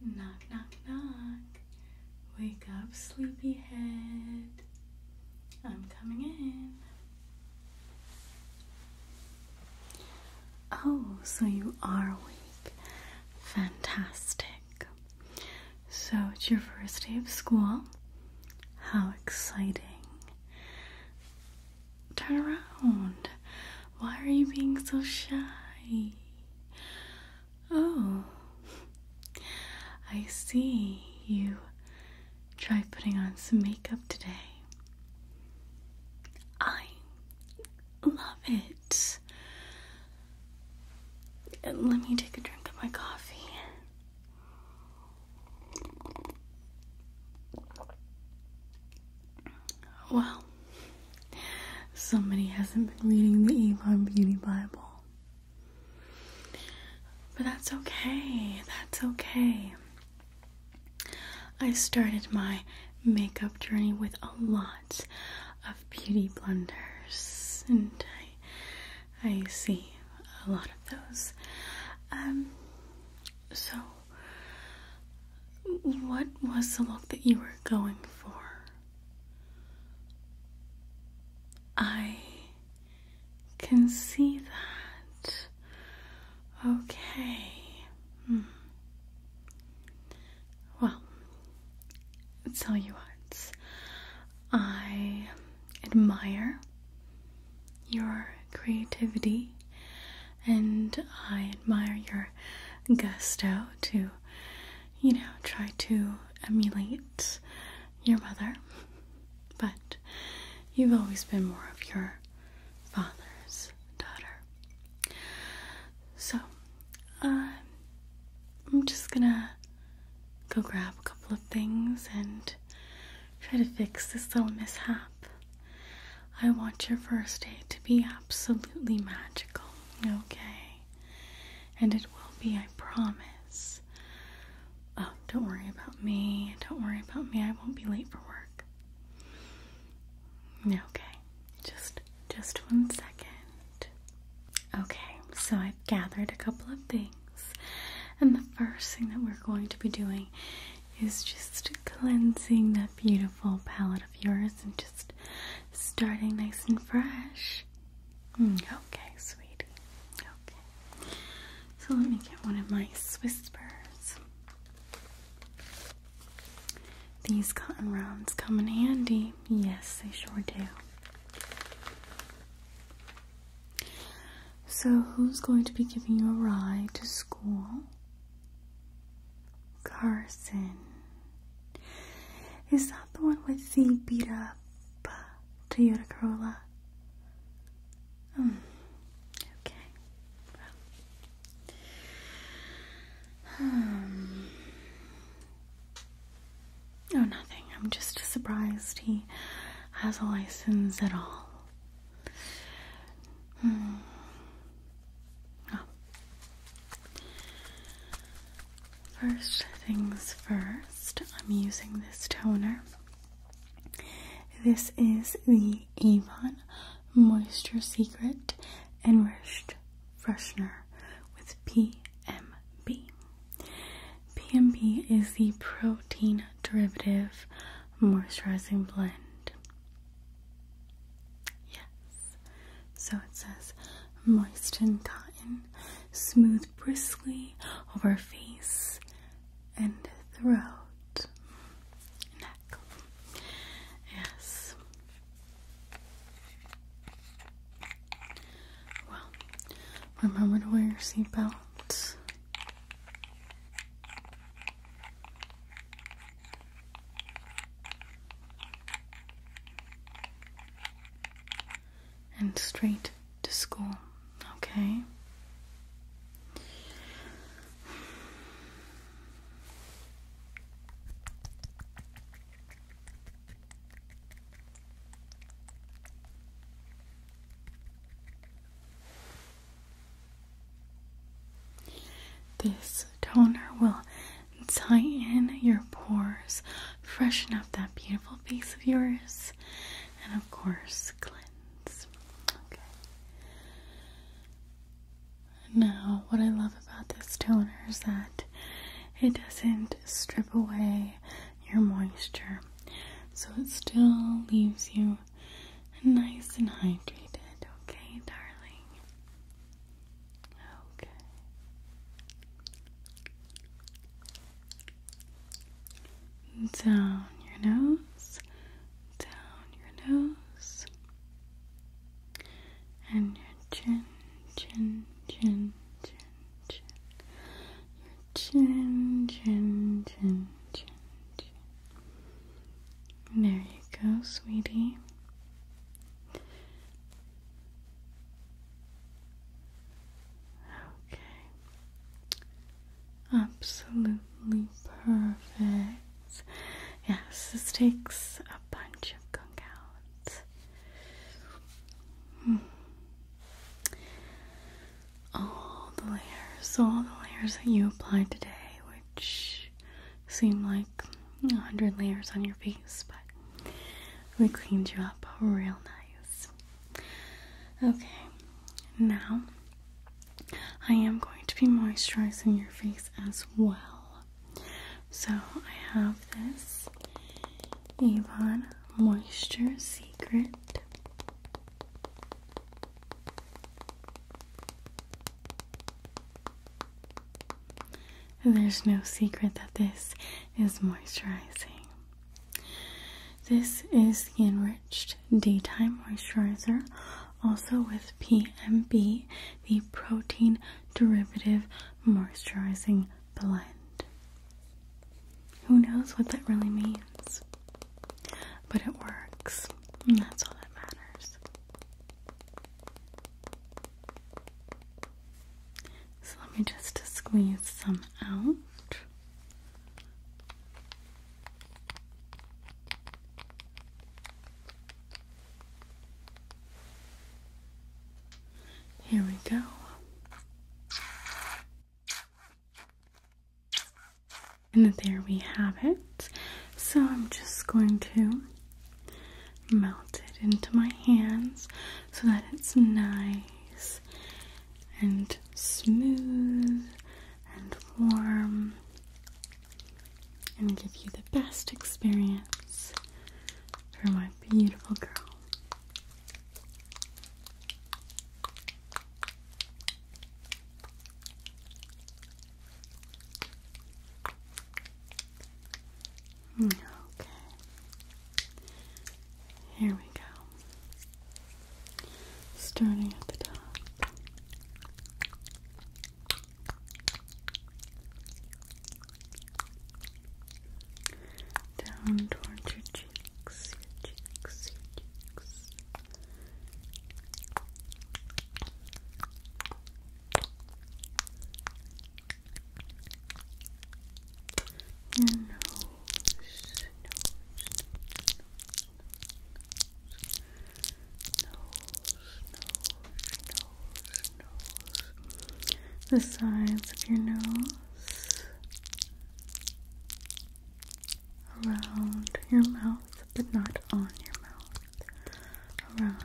Knock, knock, knock. Wake up, sleepyhead. I'm coming in. Oh, so you are awake. Fantastic. So it's your first day of school. How exciting. Turn around. Why are you being so shy? Oh, I see you tried putting on some makeup today. I love it. Let me take a drink of my coffee. Well, somebody hasn't been reading the Avon Beauty Bible. But that's okay, that's okay. I started my makeup journey with a lot of beauty blunders, and I, I see a lot of those. Um, so what was the look that you were going for? I can see that. Okay. Hmm. Well, tell you what, I admire your creativity and I admire your gusto to, you know, try to emulate your mother, but you've always been more of your father's daughter. So, uh, I'm just gonna go grab a couple of things and try to fix this little mishap. I want your first day to be absolutely magical, okay? And it will be, I promise. Oh, don't worry about me. Don't worry about me. I won't be late for work. Okay. Just just one second. Okay. So I've gathered a couple of things. And the first thing that we're going to be doing is just cleansing that beautiful palette of yours and just starting nice and fresh. Hmm, okay, sweetie. Okay. So let me get one of my Swiss burrs. These cotton rounds come in handy. Yes, they sure do. So, who's going to be giving you a ride to school? Carson. Is that the one with the beat up uh, Toyota Corolla? Hmm. Okay. Well. Um, oh, nothing. I'm just surprised he has a license at all. Hmm. Oh. First things first, I'm using this toner. This is the Avon Moisture Secret Enriched Freshener with PMB. PMB is the protein derivative moisturizing blend. Yes. So it says moisten cotton, smooth bristly over face and throat, neck. Yes. Well, remember to wear your seatbelt and straight to school, okay? This toner will and tie in your pores, freshen up that beautiful face of yours, and of course, cleanse. Okay. Now, what I love about this toner is that it doesn't strip away your moisture, so it still leaves you nice and hydrated. Okay, darling. Okay. Down your nose, down your nose, and your chin, chin, chin, chin, chin, your chin, chin, chin, chin, chin. There you go, sweetie. Okay. Absolutely perfect. Yes, this takes a bunch of gunk out. Hmm. All the layers, all the layers that you applied today, which seem like a hundred layers on your face, but we cleaned you up real nice. Okay, now I am going to be moisturizing your face as well. So I have this Avon Moisture Secret. There's no secret that this is moisturizing. This is the Enriched Daytime Moisturizer, also with PMB, the Protein Derivative Moisturizing Blend. Who knows what that really means? But it works, that's all that matters. So let me just squeeze some out. Here we go. And there we have it. So I'm just going to melt it into my hands so that it's nice and smooth and warm and give you the best experience for my beautiful girl. Okay. Here we go. Starting at the top. Down towards your cheeks, your cheeks, your cheeks. Your nose, nose, nose, nose, nose, nose, the sides of your nose, around your mouth, but not on your mouth, around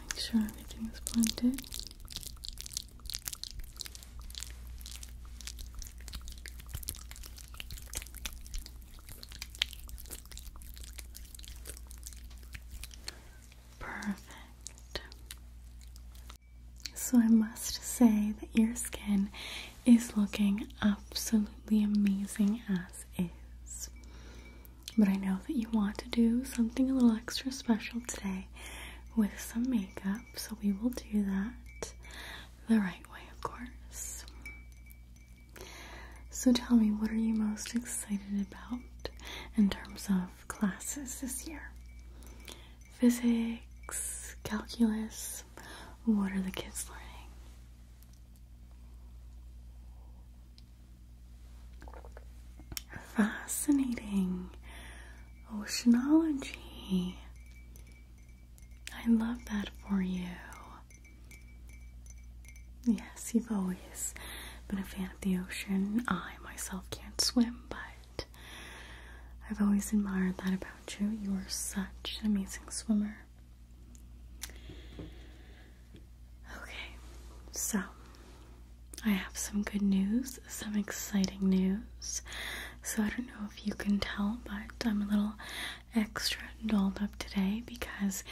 Make sure everything is blended. Perfect. So I must say that your skin is looking absolutely amazing as is. But I know that you want to do something a little extra special today with some makeup, so we will do that the right way, of course. So tell me, what are you most excited about in terms of classes this year? Physics, calculus, what are the kids learning? Fascinating oceanology. I love that for you. Yes, you've always been a fan of the ocean. I myself can't swim, but I've always admired that about you. You are such an amazing swimmer. Okay, so I have some good news, some exciting news. So I don't know if you can tell, but I'm a little extra dolled up today because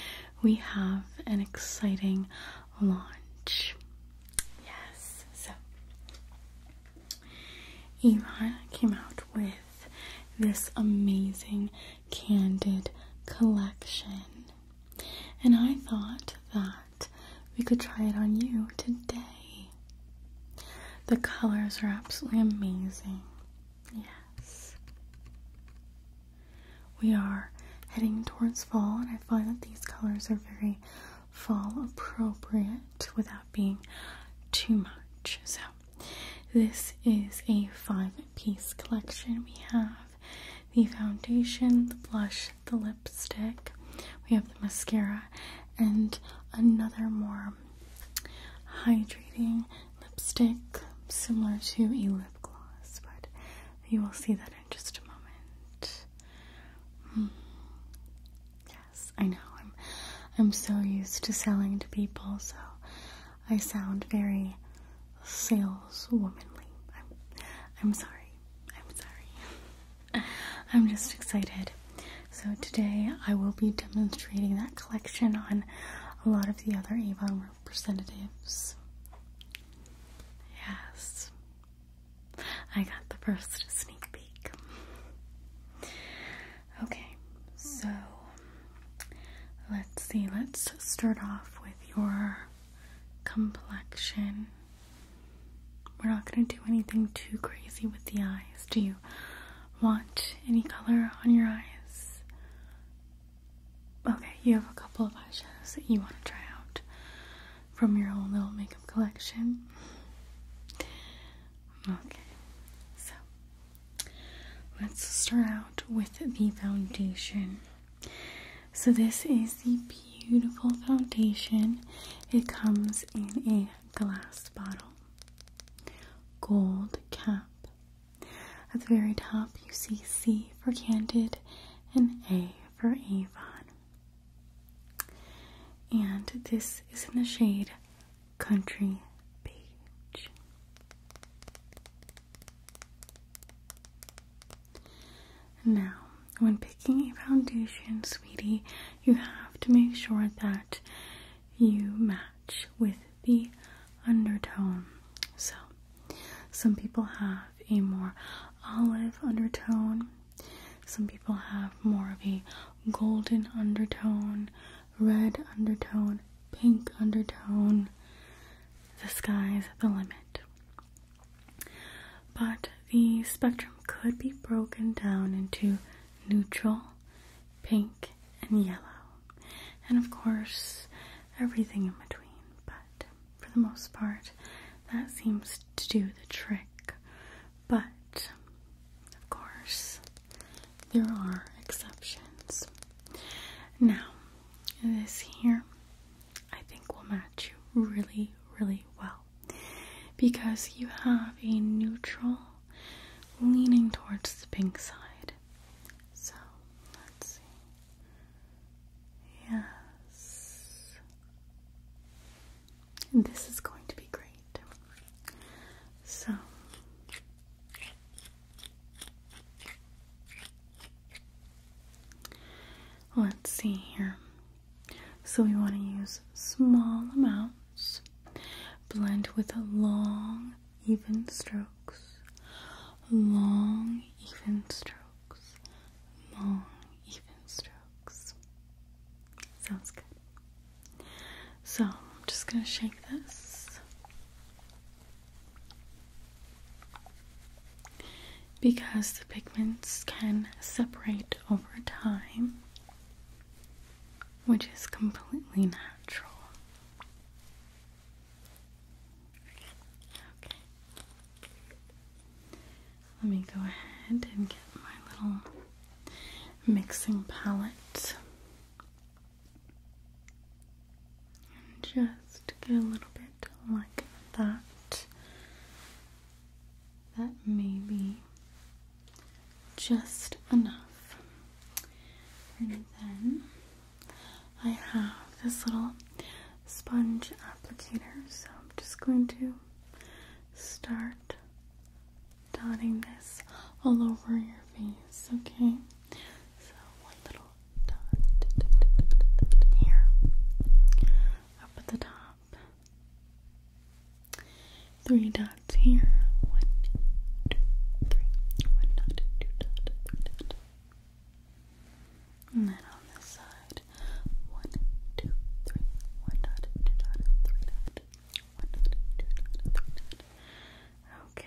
we have an exciting launch. Yes, so Iman came out with this amazing candid collection. And I thought that we could try it on you today. The colors are absolutely amazing. Yes. We are heading towards fall, and I find that these colors are very fall appropriate without being too much. So, this is a five piece collection. We have the foundation, the blush, the lipstick, we have the mascara, and another more hydrating lipstick similar to a lip gloss, but you will see that in just a moment. Hmm. Yes, I know. I'm I'm so used to selling to people, so I sound very saleswomanly. I'm, I'm sorry. I'm sorry. I'm just excited. So today I will be demonstrating that collection on a lot of the other Avon representatives. Yes. I got the first sneak peek. Okay, so let's see. Let's start off with your complexion. We're not going to do anything too crazy with the eyes. Do you want any color on your eyes? Okay, you have a couple of eyeshadows that you want to try out from your own little makeup collection. Okay, so Let's start out with the foundation. So, this is the beautiful foundation. It comes in a glass bottle, gold cap. At the very top, you see C for Candid and A for Avon. And this is in the shade Country Beach. Now, when picking a foundation, sweetie, you have to make sure that you match with the undertone. So, some people have a more olive undertone, some people have more of a golden undertone, red undertone, pink undertone. The sky's the limit. But the spectrum could be broken down into neutral, pink, and yellow. And of course, everything in between. But for the most part, that seems to do the trick. But of course, there are exceptions. Now, this here I think will match you really, really well because you have a neutral leaning towards the pink side. So, let's see. Yes. This is going to be great. So, Let's see here. So we want to use small amounts, blend with long, even strokes, long, even strokes, long, even strokes. Sounds good. So I'm just going to shake this because the pigments can separate over time, which is completely natural. Okay. Let me go ahead and get my little mixing palette. And just go a little bit like that. That may be just enough. And then I have this little sponge applicator, so I'm just going to start dotting this all over your face, okay? So one little dot here up at the top. Three dots here. One, two, three. One dot, two dot, three dot. And then on this side, one, two, three, one dot, two dot, three dot, one dot, two dot, three dot. Okay.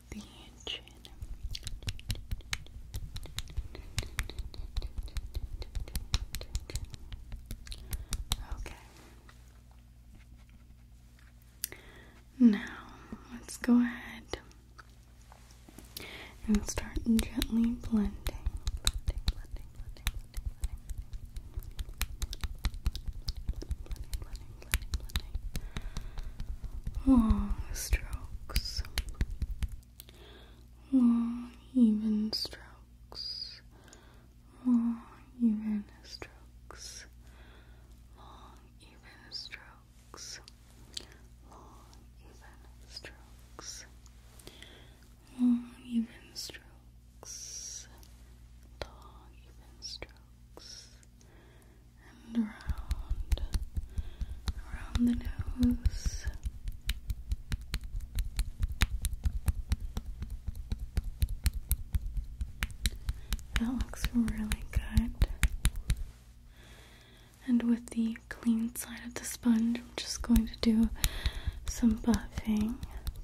Okay. Now, let's go ahead and start gently blending. blending, oh, strokes long even strokes, long even strokes, long even strokes, long even strokes, long even strokes, long even strokes, even strokes and around, around the nose. That looks really good. And with the clean side of the sponge, I'm just going to do some buffing.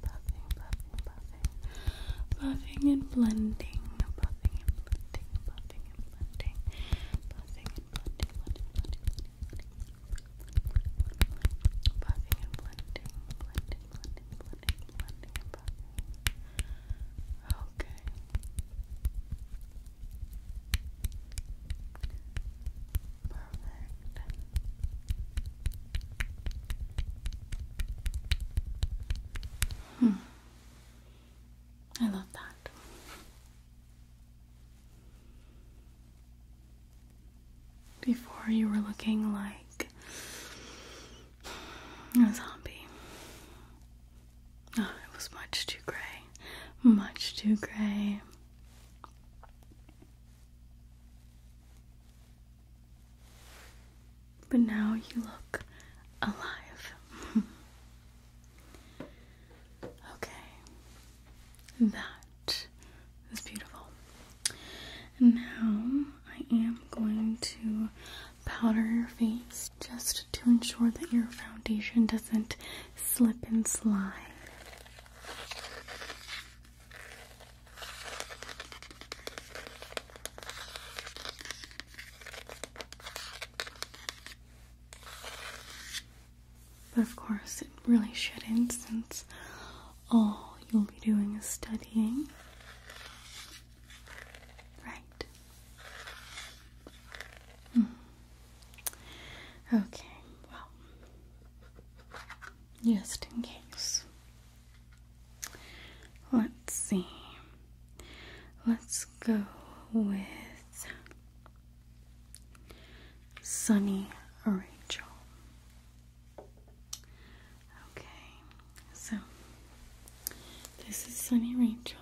Buffing, buffing, buffing. Buffing and blending buffing and blunting and buffing and blunting, buffing and blunting, blunting, blunting, blunting, buffing and blunting, blunting, blunting, blunting, blunting and buffing. Okay. Perfect. Hmm. I love that. Before you were looking like a zombie. Oh, it was much too gray. Much too gray. But now you look alive. Okay. That is beautiful. And now I am going to powder your face just to ensure that your foundation doesn't slip and slide. But of course, it really shouldn't since all you'll be doing is studying. Right. Hmm. Okay, well, just in case. Let's see. Let's go with Sunny Rachel. Okay, so this is Sunny Rachel.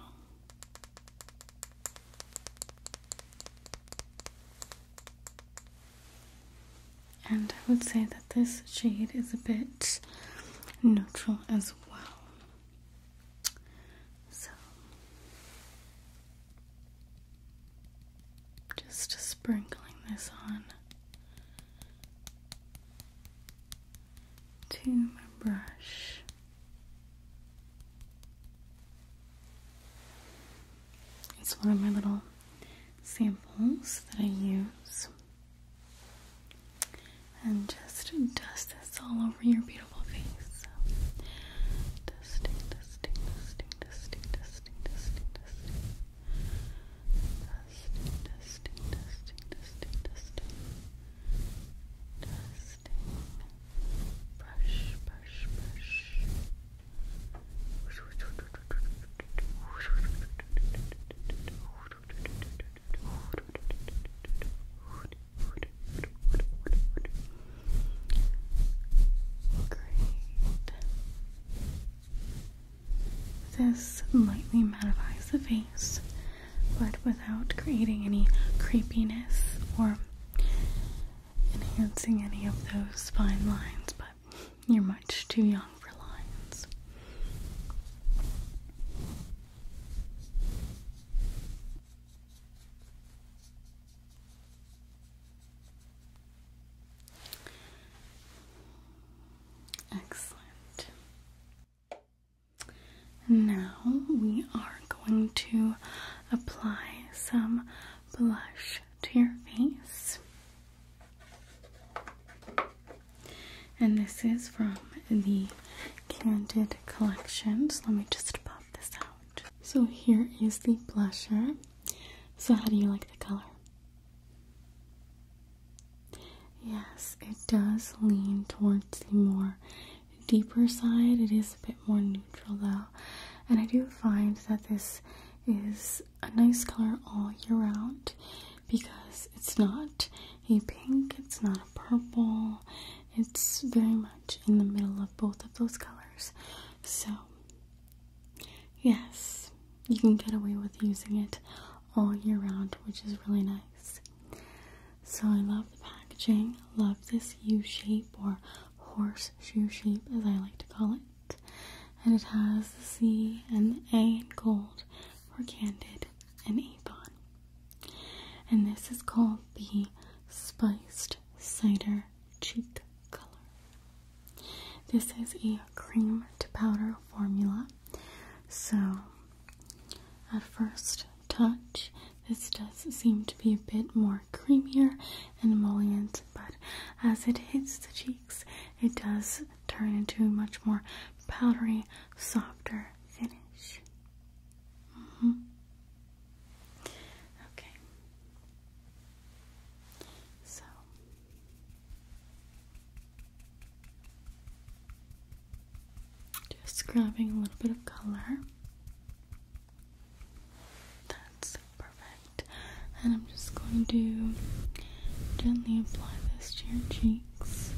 And I would say that this shade is a bit neutral as well. So just sprinkling this on to my brush. It's one of my little samples that I use and just dust this all over your beautiful face. Dusting, dusting, dusting, dusting, dusting, dusting, dusting. Dusting, dusting, dusting, dusting, dusting. Dusting. Brush, brush, brush. Great. This lightly mattifies the face, but without creating any creepiness or enhancing any of those fine lines, but you're much too young for lines. Excellent. Now we are going to apply some blush to your face. And this is from the Candid Collections. Let me just pop this out. So here is the blusher. So how do you like the color? Yes, it does lean towards the more deeper side. It is a bit more neutral though. And I do find that this is a nice color all year round because it's not a pink, it's not a purple, it's very much in the middle of both of those colors. So, yes, you can get away with using it all year round, which is really nice. So, I love the packaging. Love this U shape or horse shoe shape, as I like to call it. And it has the C and the A in gold for Candid and Avon. And this is called the Spiced Cider Cheek Color. This is a cream to powder formula. So, at first touch, this does seem to be a bit more creamier and emollient, but as it hits the cheeks, it does turn into a much more powdery, softer finish. Mm-hmm. Okay. So just grabbing a little bit of color. That's perfect. And I'm just going to gently apply this to your cheeks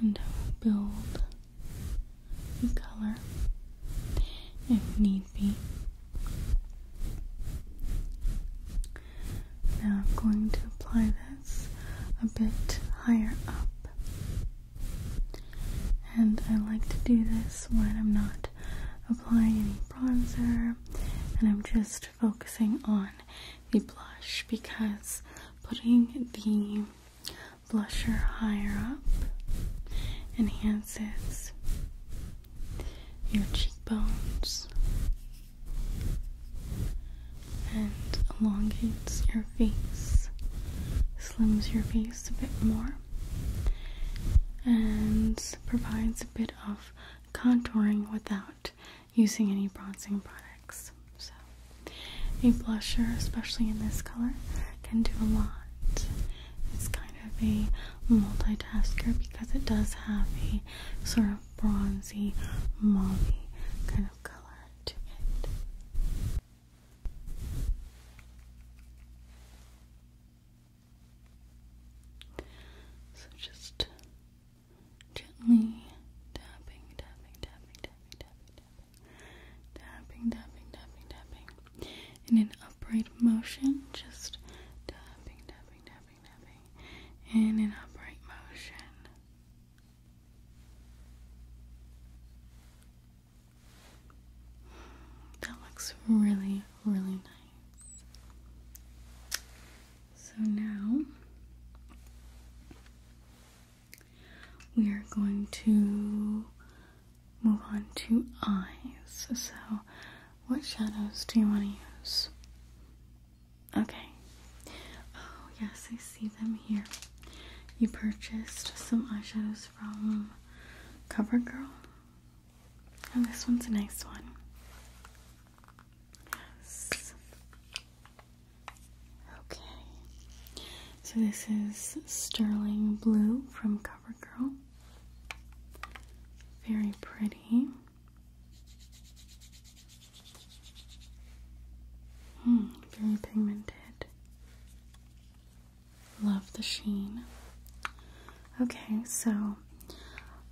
and build color if need be. Now I'm going to apply this a bit higher up. And I like to do this when I'm not applying any bronzer and I'm just focusing on the blush because putting the blusher higher up enhances your cheekbones and elongates your face, slims your face a bit more, and provides a bit of contouring without using any bronzing products. So, a blusher, especially in this color, can do a lot. It's kind of a multitasker because it does have a sort of bronzy, mauve kind of color to it. So just gently tapping, tapping, tapping, tapping, tapping, tapping, tapping, tapping, tapping, tapping. In an upright motion, just tapping, tapping, tapping, tapping. In an upright motion. That looks really, really nice. So now we are going to move on to eyes. So, what shadows do you want to use? Okay. Oh, yes, I see them here. You purchased some eyeshadows from CoverGirl. And this one's a nice one. Yes. Okay, so this is Sterling Blue from CoverGirl. Very pretty. Hmm, very pigmented. Love the sheen. Okay, so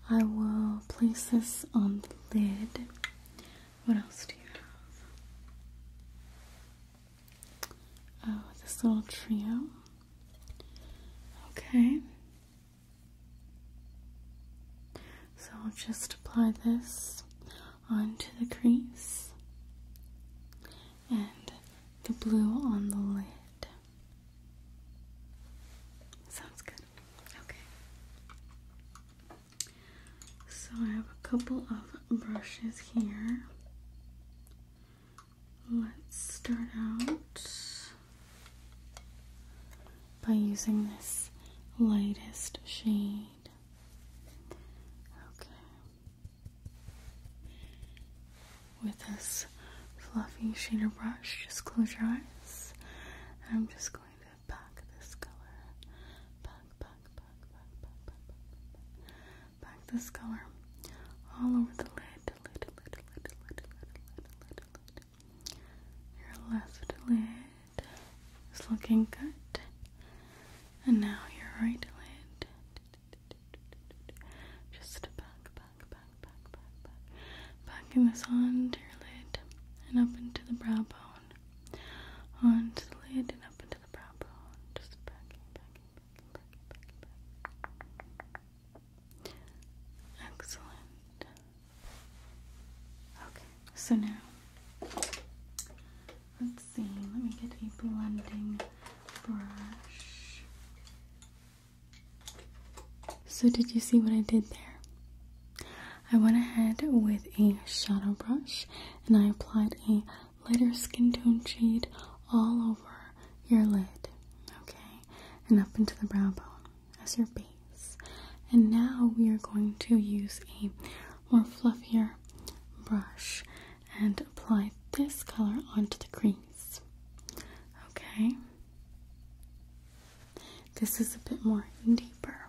I will place this on the lid. What else do you have? Oh, this little trio. Okay. So I'll just apply this onto the crease and the blue on the lid. Sounds good. Okay. So I have a couple of brushes here. Let's start out by using this lightest shade. Okay. With this fluffy shader brush, just close your eyes. I'm just going to pack this color, back, back, back, back, back, back, back, back, back this color all over the lid, lid, lid, lid, lid, lid, lid, lid, lid. Your left lid is looking good, and now your right lid. Just back, back, back, back, back, back, backing this onto your lid and up into the brow bone, onto the lid and up into Excellent. Okay, so now let's see. Let me get a blending brush. So, did you see what I did there? I went ahead with a shadow brush and I applied a lighter skin tone shade all over your lid, okay, and up into the brow bone as your base. And now we are going to use a more fluffier brush and apply this color onto the crease, okay? This is a bit more deeper.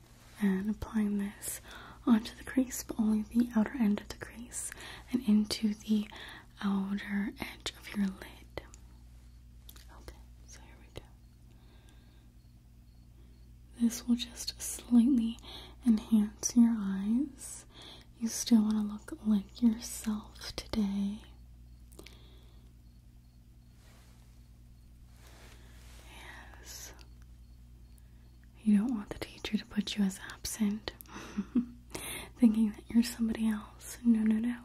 and applying this onto the crease, but only the outer end of the crease and into the outer edge of your lid. Okay, so here we go. This will just slightly enhance your eyes. You still want to look like yourself today. Yes. You don't want the teacher to put you as absent, thinking that you're somebody else. No, no, no.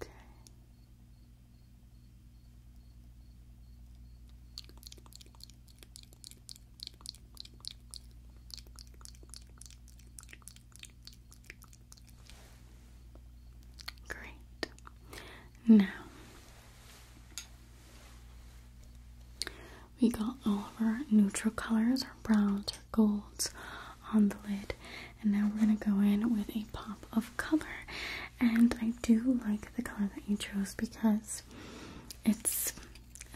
Okay. Great. Now we got all of our neutral colors, our browns, our golds on the lid, and now we're gonna go in with a pop of color. And I do like the color that you chose because it's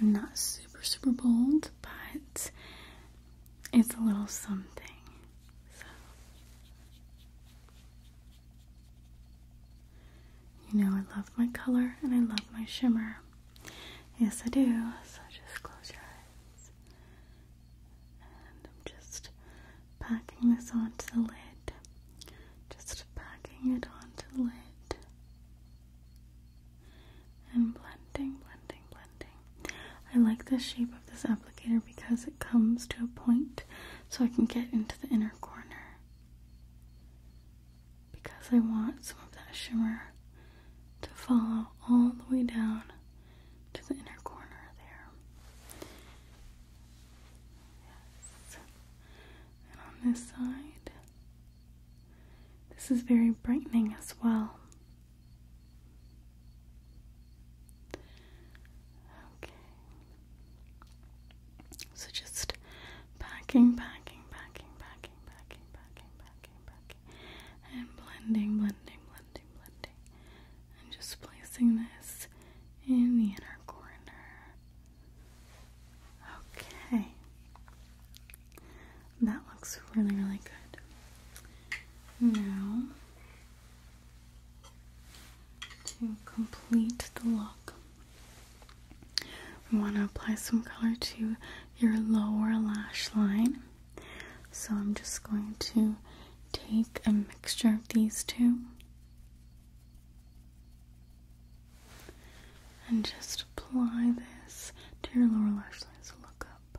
not super super bold, but it's a little something you know, I love my color and I love my shimmer. Yes, I do. So just close your eyes. And I'm just packing this onto the lid. Just packing it onto the lid. And blending, blending, blending. I like the shape of this applicator because it comes to a point so I can get into the inner corner. Because I want some of that shimmer to follow all the way down to the inner corner there. And on this side, this is very brightening as well. Okay. So just packing, packing, packing, packing, packing, packing, packing, packing, and blending, blending, blending, blending, and just placing this in the inner corner. Okay. That looks really, really good. Now to complete the look. We want to apply some color to your lower lash line. So I'm just going to take a mixture of these two and just apply this to your lower lash line. So look up.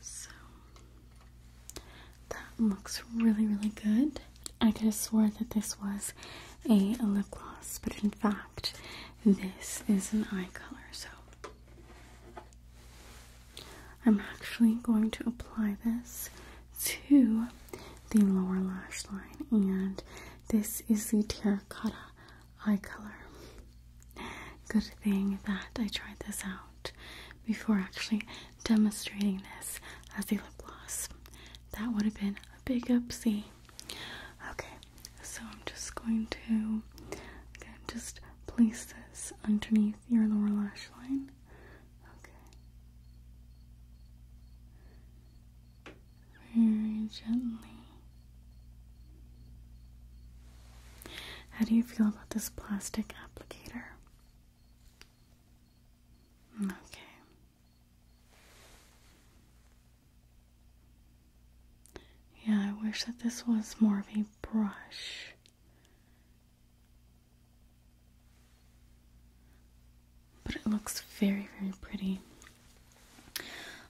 So that looks really, really good. I could have swore that this was a lip gloss, but in fact, this is an eye color. So I'm actually going to apply this to the lower lash line, and this is the Terracotta eye color. Good thing that I tried this out before actually demonstrating this as a lip gloss. That would have been a big oopsie. Okay, so I'm just going to again just place this underneath your lower lash line. Okay. Very gently. How do you feel about this plastic applicator? Okay. Yeah, I wish that this was more of a brush. But it looks very, very pretty.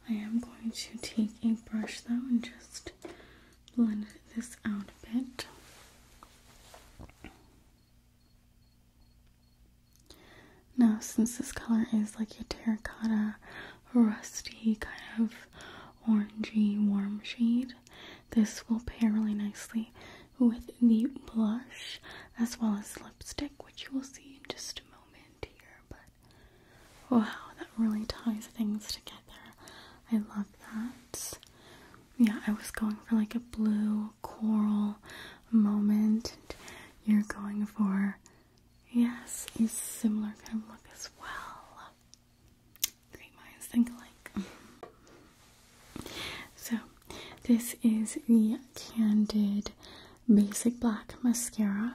I am going to take a brush though and just blend this out a bit. Now, since this color is like a terracotta, rusty, kind of orangey, warm shade, this will pair really nicely with the blush as well as lipstick, which you will see in just a moment here. But Wow, that really ties things together. I love that. Yeah, I was going for like a blue coral moment. And you're going for, yes, a similar kind of look as well. Great minds think alike. so, this is the Candid Basic Black Mascara.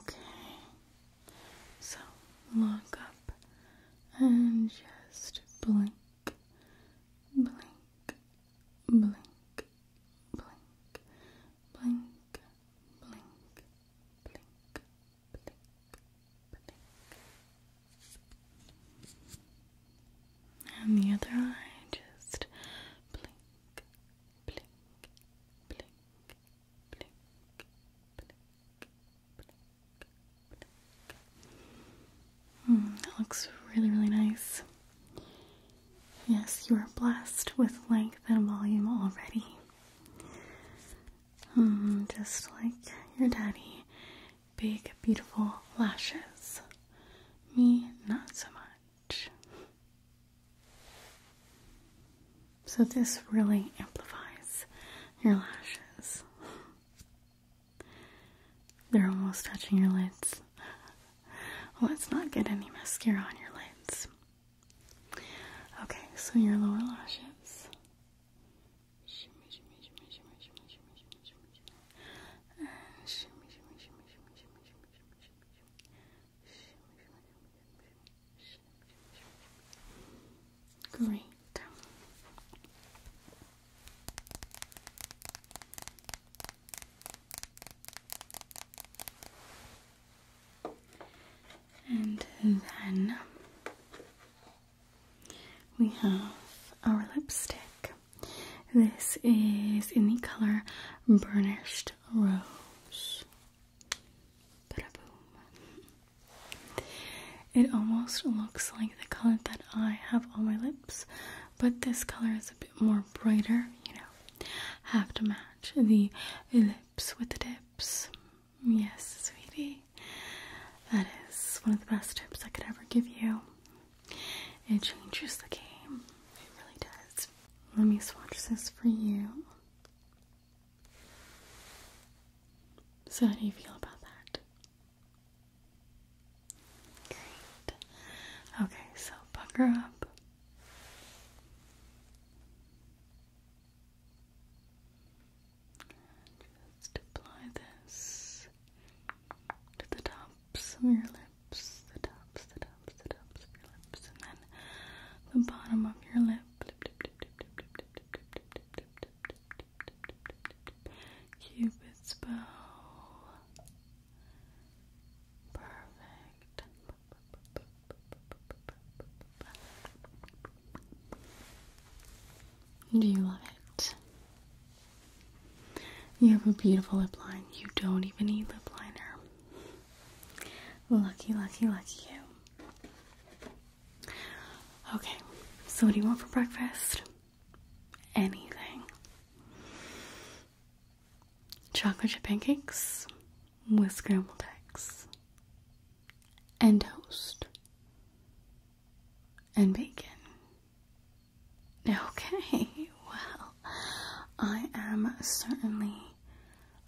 Okay, so lock up and just blink, blink, blink, blink, blink, blink, blink, blink, blink, and the other eye just blink, blink, blink, blink, blink, blink, blink. Mm, that looks really, really nice. Yes, you are blessed with length and volume already. Mm, just like your daddy, big, beautiful lashes. Me, not so much. So, this really amplifies your lashes. They're almost touching your lids. Let's not get any mascara on your lids. Okay, so your lower lashes. Great. And then we have our lipstick. This is in the color Burnished Rose. It almost looks like the color that I have on my lips, but this color is a bit more brighter, you know. Have to match the lips with the lips. Yes, sweetie. That is one of the best tips I could ever give you. It changes the game, it really does. Let me swatch this for you. So, how do you feel about that? Great. Okay, so pucker up. Just apply this to the tops of your lips, the tops, the tops, the tops of your lips, and then the bottom of your lip. Cupid's bow. Perfect. Do you love it? You have a beautiful lip line. You don't even need lip liner. Lucky, lucky, lucky you. Okay, so what do you want for breakfast? Anything. Chocolate chip pancakes with scrambled eggs. And toast and bacon. Okay, well, I am certainly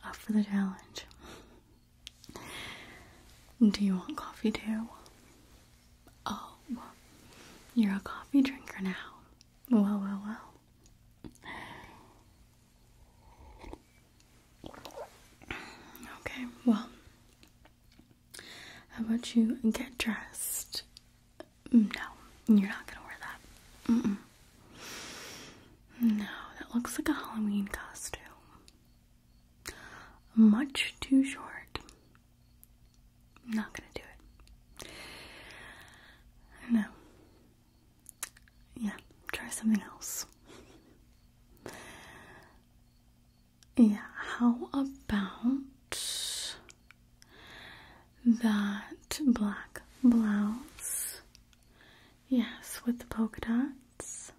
up for the challenge. Do you want coffee too? Oh, you're a coffee drinker now. Well, well, well. Okay, well, how about you get dressed? No, you're not gonna wear that. No, that looks like a Halloween costume. Much too short. Not gonna do it. No. Yeah, try something else. Yeah, how about that black blouse? Yes, with the polka dots.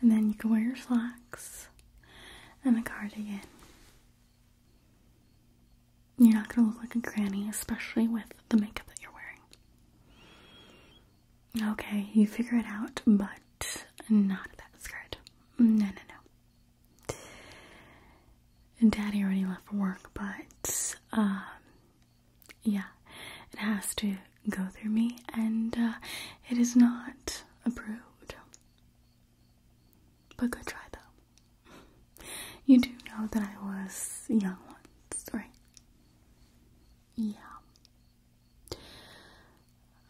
And then you can wear your slacks and the cardigan. You're not gonna look like a granny, especially with the makeup that you're wearing. Okay, you figure it out, but not that skirt. No, no, no. Daddy already left for work, but, um, yeah, it has to go through me, and, uh, it is not approved. But good try, though. You do know that I was young once, right? Yeah.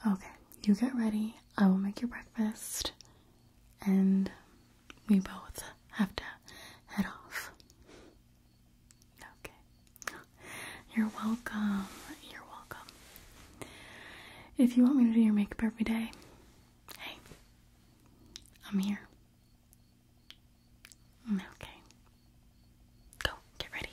Okay, you get ready. I will make your breakfast, and we both have to head off. Okay. You're welcome. You're welcome. If you want me to do your makeup every day, hey, I'm here. Okay. Go, get ready.